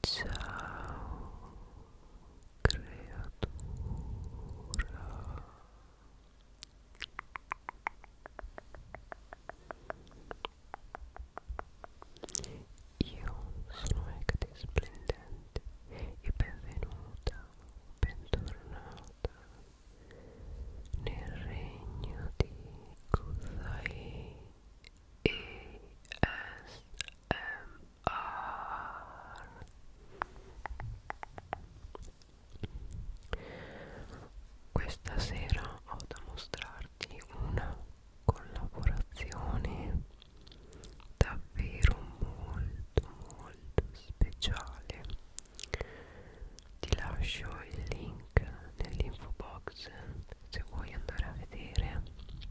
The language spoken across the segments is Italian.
Ciao creatura Io sono Ecate benvenuta, bentornata nel regno di Kusai questa sera ho da mostrarti una collaborazione davvero molto molto speciale ti lascio il link nell'info box se vuoi andare a vedere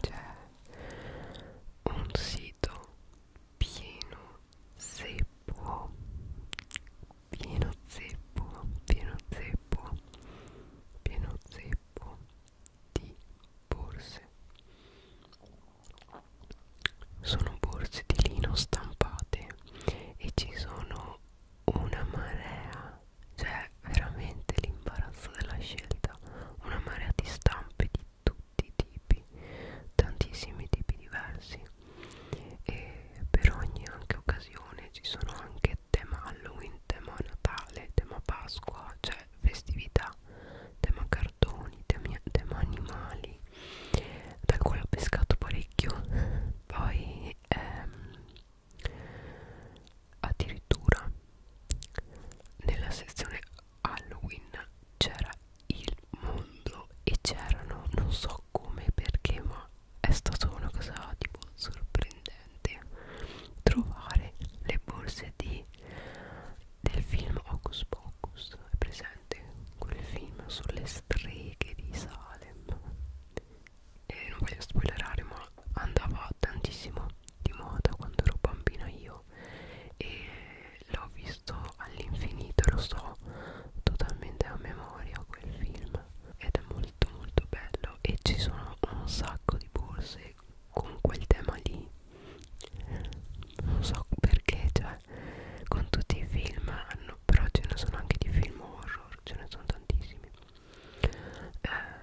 c'è un sito pieno zeppo pieno zeppo pieno zeppo pieno zeppo di borse sono borse di lino stampate e ci sono una marea c'è cioè, veramente l'imbarazzo della scelta, una marea di stampe di tutti i tipi, tantissimi tipi diversi e per ogni anche occasione ci sono anche tema Halloween, tema Natale, tema Pasqua, cioè festività, tema cartoni, tema, tema animali, dal quale ho pescato parecchio. Poi ehm, addirittura nella sezione Halloween c'era il mondo e c'erano non so come perché ma è stata una cosa tipo sorprendente trovare le borse di del film Hocus Pocus è presente quel film sulle streghe di Salem e non voglio spoilerare ma andava tantissimo di moda quando ero bambina io e l'ho visto all'infinito lo so totalmente a memoria quel film ed è molto molto bello e ci sono un sacco di borse con quel tema lì non so perché cioè con tutti i film hanno però ce ne sono anche di film horror ce ne sono tantissimi eh,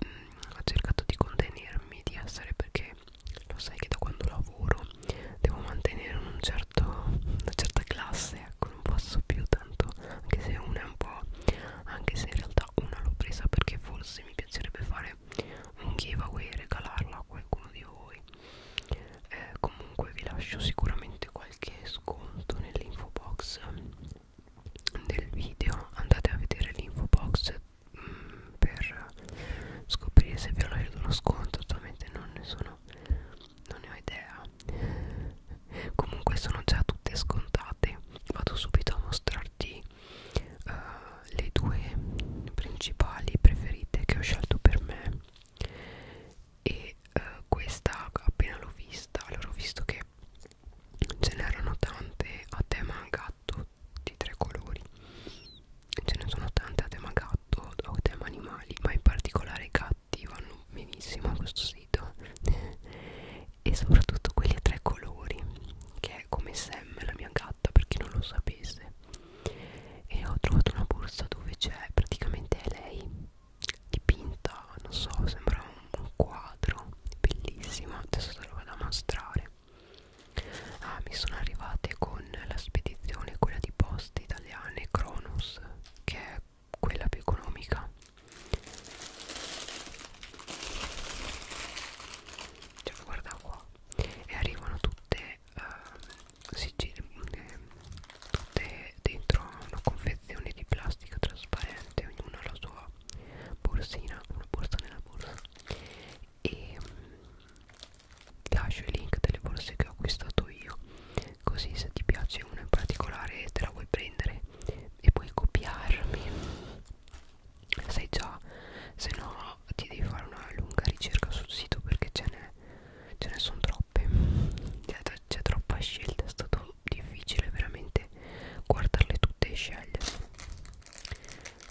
mh, mm, ho cercato di contenermi di essere perché lo sai che da quando lavoro devo mantenere un certo, una certa classe ecco non posso più tanto anche se una è un po' anche se in realtà una l'ho presa perché forse mi piacerebbe fare un giveaway e regalarla a qualcuno di voi eh, comunque vi lascio sicuramente qualche sconto nell'info box del video andate a vedere l'info box mh, mm, per scoprire se vi ho lasciato lo sconto attualmente non ne sono non ne ho idea comunque sono già tutte scontate vado subito a mostrarti uh, le due principali preferite che ho scelto per me e uh, questa appena l'ho vista allora ho visto che ce n'erano tante a tema gatto di tre colori ce ne sono tante a tema gatto o a tema animali ma in particolare i gatti vanno benissimo a questo sito e soprattutto quelli a tre colori che è come Sam la mia gatta per chi non lo sapesse e ho trovato una borsa dove c'è praticamente lei dipinta non so sembra un un quadro bellissimo adesso te lo vado a mostrare ah, mi sono arrivate con la spedizione quella di poste italiane Cronus che è quella più economica cioè guarda qua e arrivano tutte uh, sigilli, eh, tutte dentro una confezione di plastica trasparente ognuna ha la sua sua borsina, una borsa nella borsa e mm, ti lascio i link delle borse che ho acquistato io così se ti piace una in particolare te la vuoi prendere e puoi copiarmi sai già se no ti devi fare una lunga ricerca sul sito perché ce n'è ce ne sono troppe c'è troppa scelta è stato difficile veramente guardarle tutte e sceglierle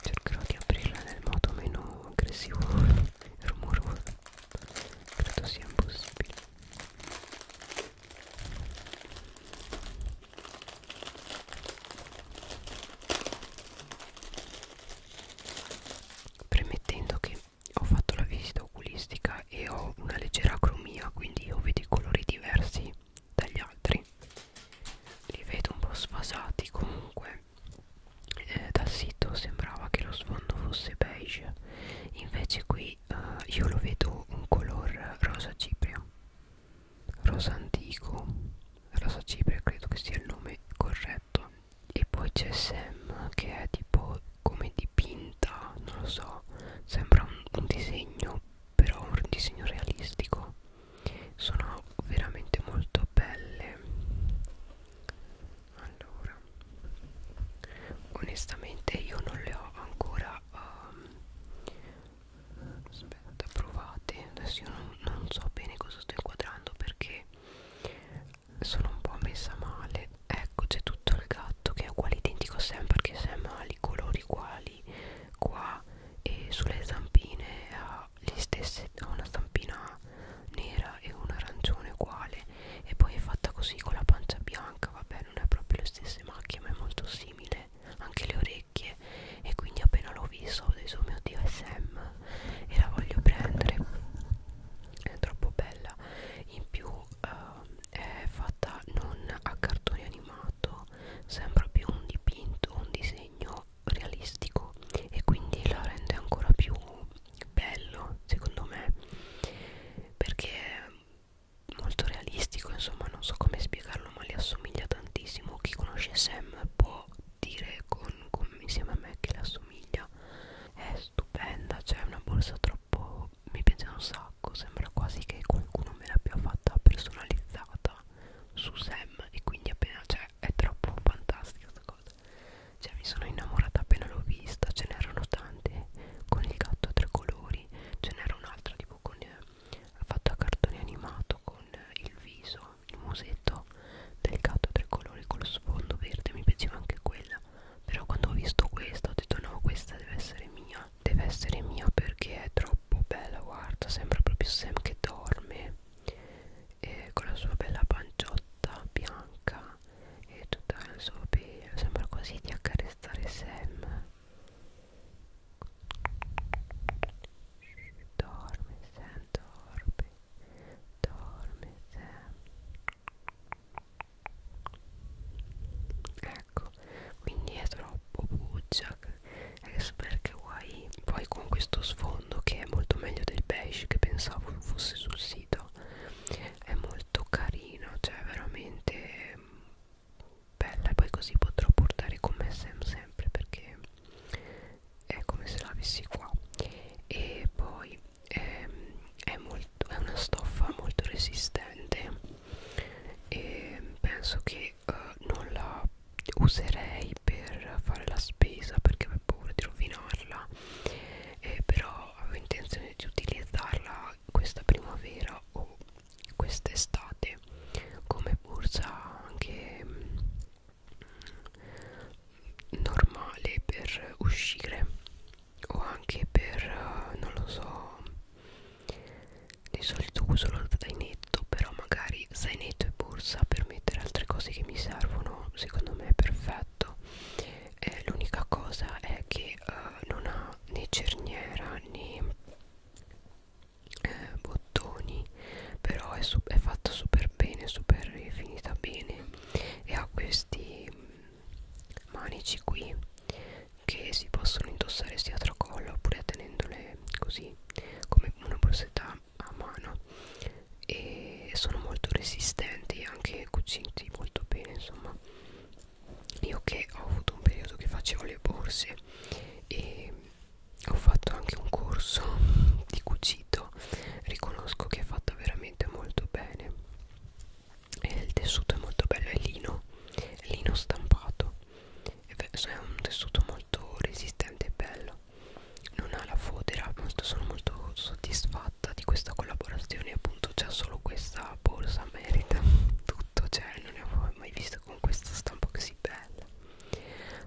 cercherò di aprirla nel modo meno aggressivo e rumoroso credo sia impossibile premettendo che ho fatto la visita oculistica e ho una leggera cromia quindi io vedo i colori diversi dagli altri li vedo un po' sfasati comunque eh, dal sito sembrava che lo sfondo fosse beige invece qui eh, io lo vedo un color rosa cipria rosa antico rosa cipria credo che sia il nome corretto e poi c'è Sam che è tipo come dipinta non lo so sembra un, un disegno però un disegno realistico sono veramente molto belle allora onestamente io non le ho ancora um, aspetta provate adesso io non, non so bene cosa sto inquadrando perché sono un po' messa male ecco c'è tutto il gatto che è uguale identico a Sam perché Sam ha i colori uguali qua e sulle zampine ha le stesse una stampina nera e una arancione uguale e poi è fatta così con la pancia bianca vabbè non è proprio le stesse macchie ma è molto simile anche le orecchie e quindi appena l'ho visto ho detto oh mio dio è Sam e la voglio prendere è troppo bella in più uh, è fatta non a cartone animato no? Sembra più un dipinto, un disegno realistico e quindi la rende ancora più bello, secondo me, perché è molto realistico, insomma, non so come spiegarlo, ma le assomiglia tantissimo. Chi conosce Sam può dire con, con, insieme a me che le assomiglia. È stupenda, cioè è una borsa troppo mi piace un sacco pacco sembra quasi che qualcuno me l'abbia fatta personalizzata su Sam e quindi appena cioè è troppo fantastica questa cosa cioè mi sono innamorata appena l'ho vista ce n'erano tante con il gatto a tre colori ce n'era un'altra tipo con eh, fatta a cartone animato con eh, il viso il musetto del gatto a tre colori con lo sfondo verde mi piaceva anche quella però quando ho visto questa ho detto no questa deve essere mia deve essere mio perché è troppo bella guarda sembra proprio Sam che dorme e con la sua bella panciotta bianca e tutto il suo pelo sembra così di accarezzare Sam dorme Sam dorme dorme Sam ecco quindi è troppo buccia adesso perché vuoi poi con questo sfondo che è molto meglio del beige che pensavo fosse sul sito è molto carino cioè veramente mm, bella e poi così potrò portare con me Sam sempre perché è come se l'avessi qua e poi ehm, è, molto, è una stoffa molto resistente e penso che che uh, non la userei per fare la spesa perché avevo paura di rovinarla eh, però avevo intenzione di utilizzarla questa primavera o quest'estate come borsa anche mh, mm, normale per uscire o anche per eh, non lo so di solito uso lo zainetto però magari zainetto e borsa per mettere altre cose che mi servono secondo me è perfetto eh, l'unica cosa è che eh, non ha né cerniera né eh, bottoni però è, è fatta super bene super finita bene e ha questi manici qui che si possono indossare sia a tracollo oppure tenendole così come una borsetta a mano e sono molto resistenti anche cucinti molto bene insomma io che ho avuto un periodo che facevo le borse e ho fatto anche un corso di cucito riconosco che è fatta veramente molto bene e il tessuto è molto bello è lino lino stampato è un tessuto molto resistente e bello non ha la fodera sono molto soddisfatta di questa collaborazione appunto già solo questa borsa merita tutto cioè non ne avevo mai visto con questa stampa così bella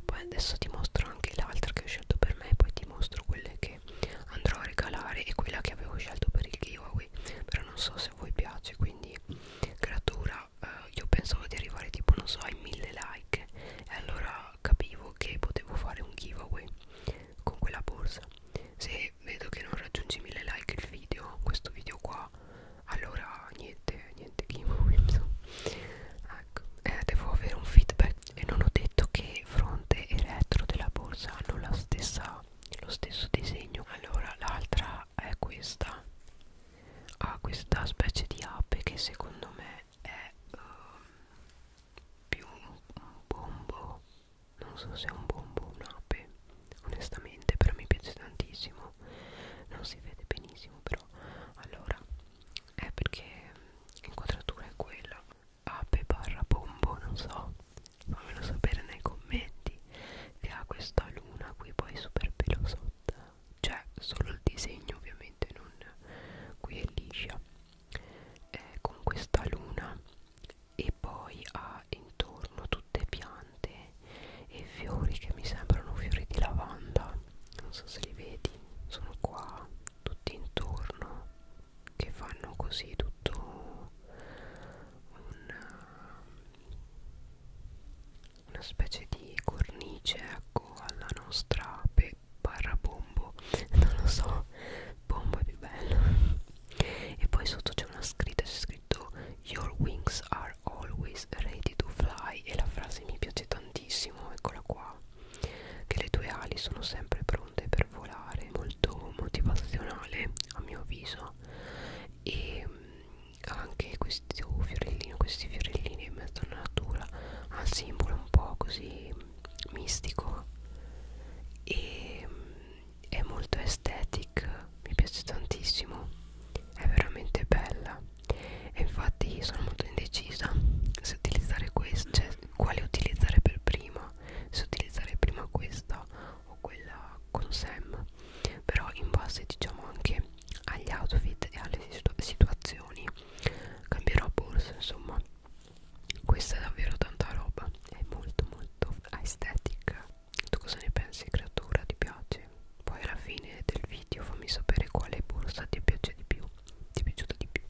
poi adesso ti mostro anche l'altra che ho scelto per me poi ti mostro quelle che andrò a regalare e quella che avevo scelto per il giveaway però non so se a voi piace quindi creatura uh, io pensavo di arrivare tipo non so ai mille like e allora capivo che potevo fare un giveaway con quella borsa se vedo che non raggiungi mille like il video questo video qua allora niente niente giveaway ecco eh, devo avere un feedback e non ho detto che fronte e retro della borsa hanno la stessa lo stesso disegno allora l'altra è questa ha questa specie di ape che secondo me è um, più un, un bombo non so se è un bombo o un'ape onestamente però mi piace tantissimo non si vede benissimo però allora è perché l'inquadratura è quella ape barra bombo non so fammelo sapere nei commenti che ha questa luna qui poi super pelosotta cioè solo il disegno ovviamente non qui è liscia eh, con questa luna e poi ha intorno tutte piante e fiori che mi sembrano fiori di lavanda non so se li vedi sono qua tutti intorno che fanno così tutto un una specie di cornice ecco alla nostra barra bombo non lo so bombo è più bello e poi sotto c'è una scritta c'è scritto your wings are always ready to fly e la frase mi piace tantissimo eccola qua che le tue ali sono sempre pronte per volare molto motivazionale a mio avviso e anche questo fiorellino questi fiorellini in mezzo alla natura ha un simbolo un po' così mistico e è molto aesthetic mi piace tantissimo è veramente bella e infatti sono molto indecisa se utilizzare questa cioè quale utilizzare per prima se utilizzare prima questa o quella con Sam però in base diciamo anche agli outfit e alle situ situazioni cambierò borsa insomma questa è davvero tanta roba è molto molto aesthetic tu cosa ne pensi creatura ti piace poi alla fine del video fammi sapere quale borsa ti piace di più ti è piaciuta di più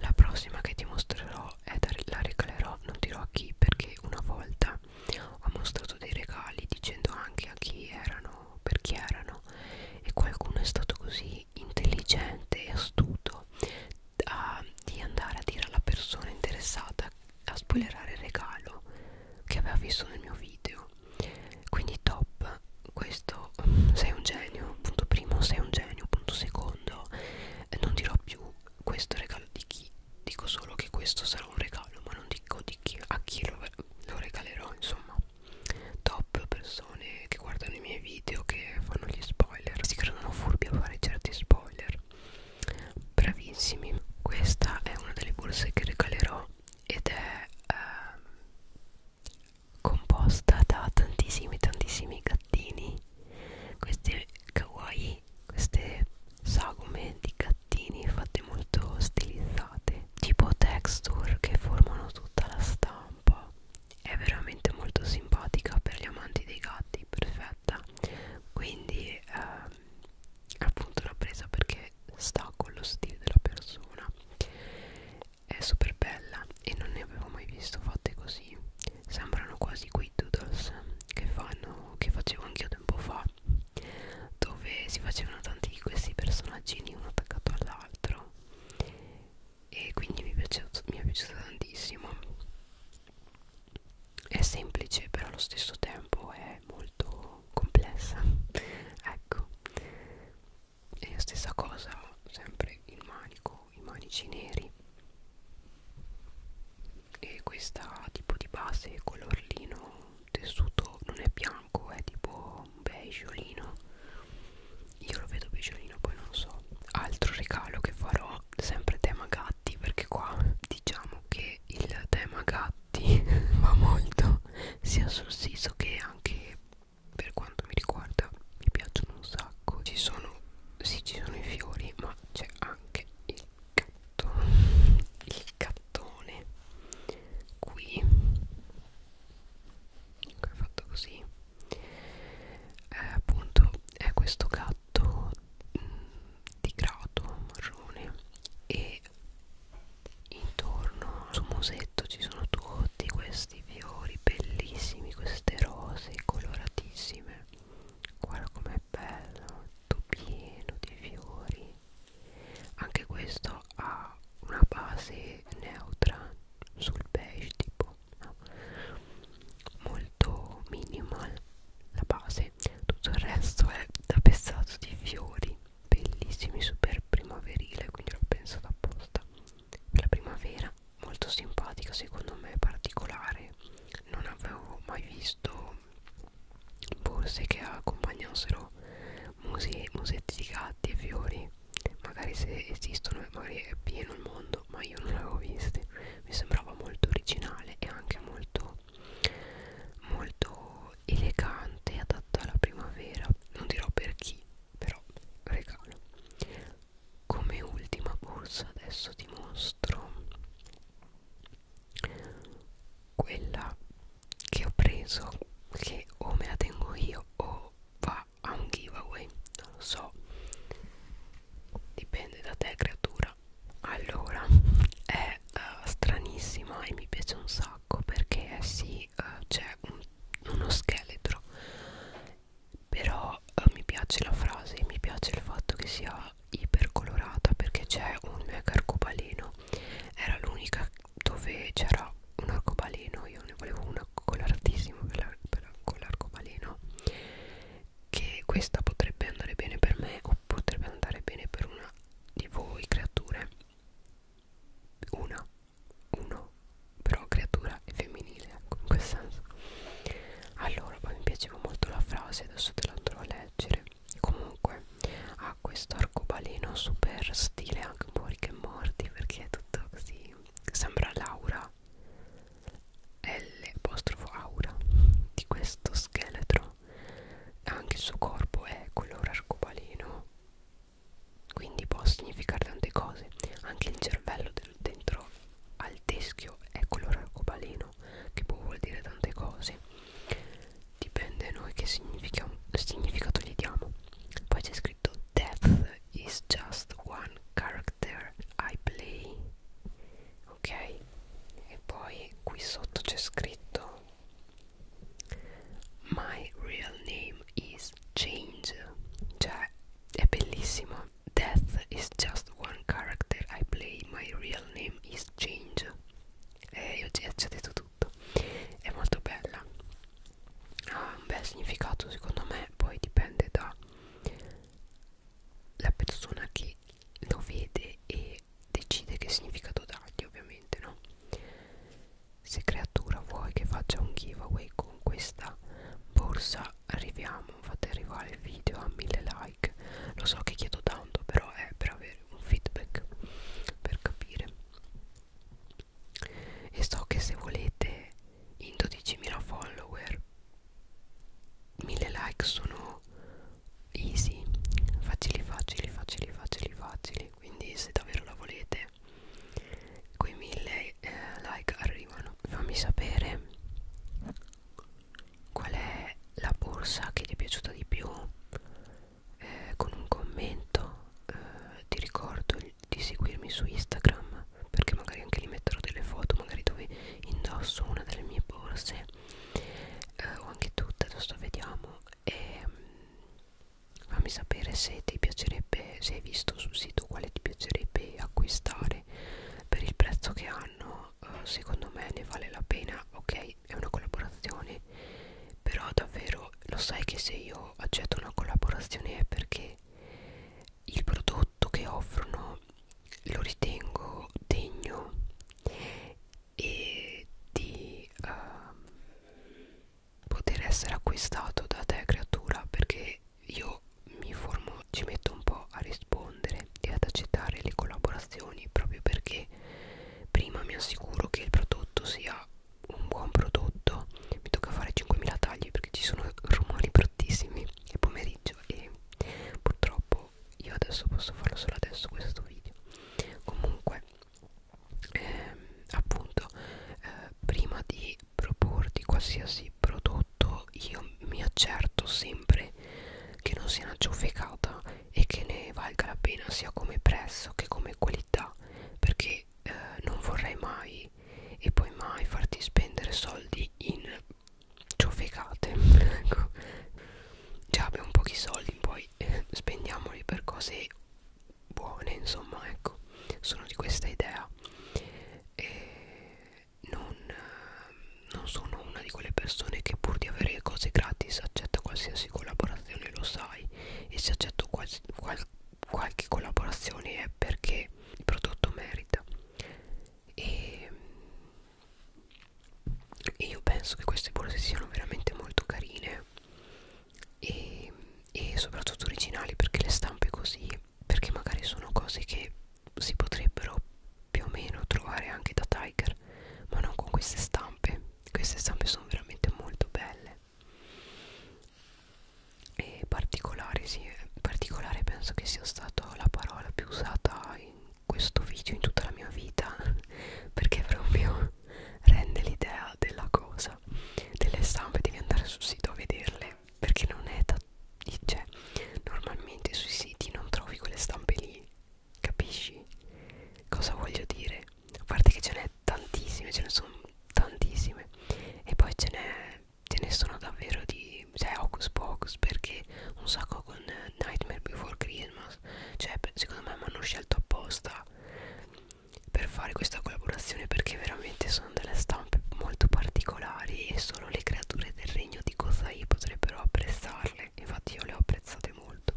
la prossima che ti mostrerò è da la regalerò non dirò a chi perché una volta ha mostrato dei regali dicendo anche a chi erano, per chi erano e qualcuno è stato così intelligente e astuto da, ah, di andare a dire alla persona interessata a spoilerare il regalo che aveva visto nel mio video quindi top questo sei un genio punto primo sei un genio punto secondo non dirò più questo regalo di chi dico solo che questo sarà un regalo ma non dico di chi, a chi lo, lo regalerò insomma top persone che guardano i miei video che fanno gli spoiler si credono furbi a fare certi spoiler bravissimi questa è una delle borse che regalerò ed è eh, composta da tantissimi tantissimi gattini questi kawaii queste sagume di gattini fatte molto stilizzate tipo texture che formano tutta la stampa è veramente molto simpatica per gli amanti dei gatti perfetta quindi eh, appunto l'ho presa perché sta con lo stile della persona è super bella e non ne avevo mai visto fatte così sembrano quasi quei doodles che fanno che facevo anch'io tempo fa dove si facevano tanti di questi personaggini uno attaccato all'altro e quindi mi è, piaciuto, mi è piaciuto tantissimo è semplice però allo stesso tempo è molto complessa ecco e la stessa cosa sempre il manico i manici neri e questa tipo di base color lino tessuto non è bianco è tipo un beigeolino io lo vedo beigeolino poi non so altro regalo che farò sempre tema gatti perché qua diciamo che il tema gatti va molto sia sul sito che anche per quanto mi riguarda mi piacciono un sacco ci sono sì ci sono i fiori ma c'è anche il gatto il gattone qui ecco, è fatto così eh, appunto è questo gatto mh, mm, di grato marrone e intorno al suo musetto ci sono tutti questi fiori bellissimi queste rose coloratissime guarda com'è è bello, tutto pieno di fiori. Anche questo ha una base neutra sul beige tipo no? molto minimal la base, tutto il resto è tappettato di fiori bellissimi, super primaverile, quindi l'ho pensato apposta. La primavera molto simpatica, secondo me particolare. Non avevo mai visto borse che accompagnassero muse musetti di gatti e fiori magari se esistono magari è pieno il mondo ma io non le avevo viste mi sembrava molto originale e anche molto molto elegante adatta alla primavera non dirò per chi però regalo come ultima borsa adesso ti mostro quella che ho preso che o me la tengo io o va a un giveaway non lo so dipende da te creatura allora è uh, stranissima e mi piace un sacco perché eh, sì uh, c'è un, uno scheletro però uh, mi piace la frase mi piace il fatto che sia ipercolorata perché c'è un mega arcobaleno era l'unica dove c'era un arcobaleno io ne volevo una coloratissima per, la, per la, con l'arcobaleno che questa potrebbe andare bene per me o potrebbe andare bene per una di voi creature una uno però creatura è femminile ecco in quel senso allora poi mi piaceva molto la frase adesso te la andrò a leggere comunque ha questo arcobaleno super stile anche un po' ricche e morti perché è tutto così sembra l'aura l'aura di questo scheletro anche il suo corpo è color arcobaleno quindi può significare tante cose anche il cervello del, dentro al teschio è color arcobaleno che può vuol dire tante cose dipende da noi che significato gli diamo poi c'è scritto death is just one character I play ok e poi qui sotto c'è scritto my real name is change cioè è bellissimo death is just one character I play my real name is change e io ci ho detto tutto è molto bella ha un bel significato secondo me poi dipende dalla persona che lo vede e decide che significato dargli ovviamente no se creatura vuoi che faccia un giveaway con questa borsa arriviamo fate arrivare il video a 1000 like lo so che chiedo tanto però è per avere un feedback per capire e so che se volete in 12.000 follower 1000 like sono easy facili facili facili facili facili quindi se davvero la volete quei 1000 eh, like arrivano fammi sapere qual è la borsa che ti è piaciuta di più eh, con un commento eh, ti ricordo di seguirmi su Instagram perché magari anche lì metterò delle foto magari dove indosso una delle mie borse eh, o anche tutte adesso vediamo e ehm, fammi sapere se ti piacerebbe se hai visto sul sito quale ti piacerebbe acquistare per il prezzo che hanno eh, secondo me ne vale la pena ok sai è una collaborazione però davvero lo sai che se io accetto una collaborazione è perché il prodotto che offrono lo ritengo degno e di uh, poter essere acquistato da te creatura perché io mi formo, ci metto un po' a rispondere rispondere e ad accettare le collaborazioni proprio perché prima mi assicuro che il prodotto sia un buon prodotto mi tocca fare 5.000 tagli perché ci sono rumori bruttissimi è pomeriggio e purtroppo io adesso posso farlo solo adesso questo video comunque ehm, appunto eh, prima di proporti qualsiasi prodotto io mi accerto sempre che non sia una ciofecata e che ne valga la pena sia come prezzo che come qualità perché eh, non vorrei mai e poi mai farti spendere soldi in ciofecate ecco già abbiamo pochi soldi poi eh, spendiamoli per cose buone insomma ecco sono di questa idea e non eh, non sono una di quelle persone che pur di avere cose gratis accetta qualsiasi collaborazione, lo sai, e se accetto qual qual qualche collaborazione è perché il prodotto merita. E, e io penso che queste borse siano veramente molto carine e, e soprattutto originali perché le stampe così, perché magari sono cose che si potrebbero più o meno trovare anche da Tiger ma non con queste stampe queste stampe sono veramente molto belle e particolare sì eh, particolare penso che sia stata la parola più usata in questo video in tutta la mia vita perché proprio rende l'idea della cosa delle stampe devi andare sul sito a vederle perché non è da cioè normalmente sui siti non trovi quelle stampe lì Capisci cosa voglio dire? A parte che ce n'è tantissime, ce ne sono tantissime E poi ce, ce ne sono davvero di, cioè Hocus Pocus perché un sacco con Nightmare Before Christmas Cioè secondo me mi hanno scelto apposta per fare questa collaborazione perché veramente sono delle stampe molto particolari e solo le creature del regno di Kozai potrebbero apprezzarle infatti io le ho apprezzate molto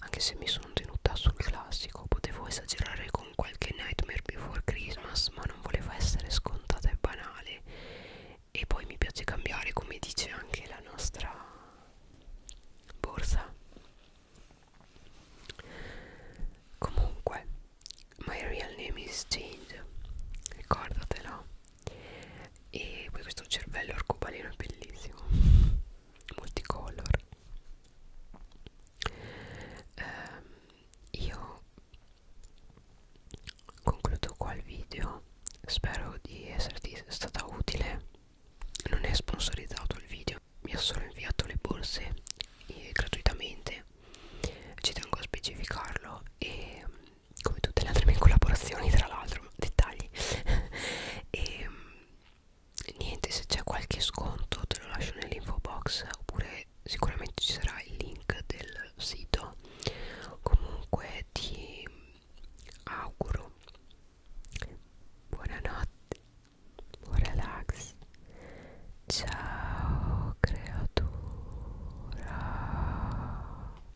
anche se mi sono tenuta sul classico potevo esagerare con qualche Nightmare Before Christmas ma non voleva essere scontata e banale e poi mi piace cambiare come dice anche la nostra borsa comunque My real name is Jade Ricordatelo e poi questo cervello arcobaleno è bellissimo multicolor ehm, io concludo qua il video spero di esserti stata utile non è sponsorizzato il video mi ha solo inviato le borse eh, gratuitamente ci tengo a specificarlo e come tutte le altre mie collaborazioni tra l'altro dettagli e ehm, niente se c'è qualche sconto te lo lascio nell'info box oppure sicuramente ci sarà il link del sito comunque ti auguro buonanotte buon relax ciao creatura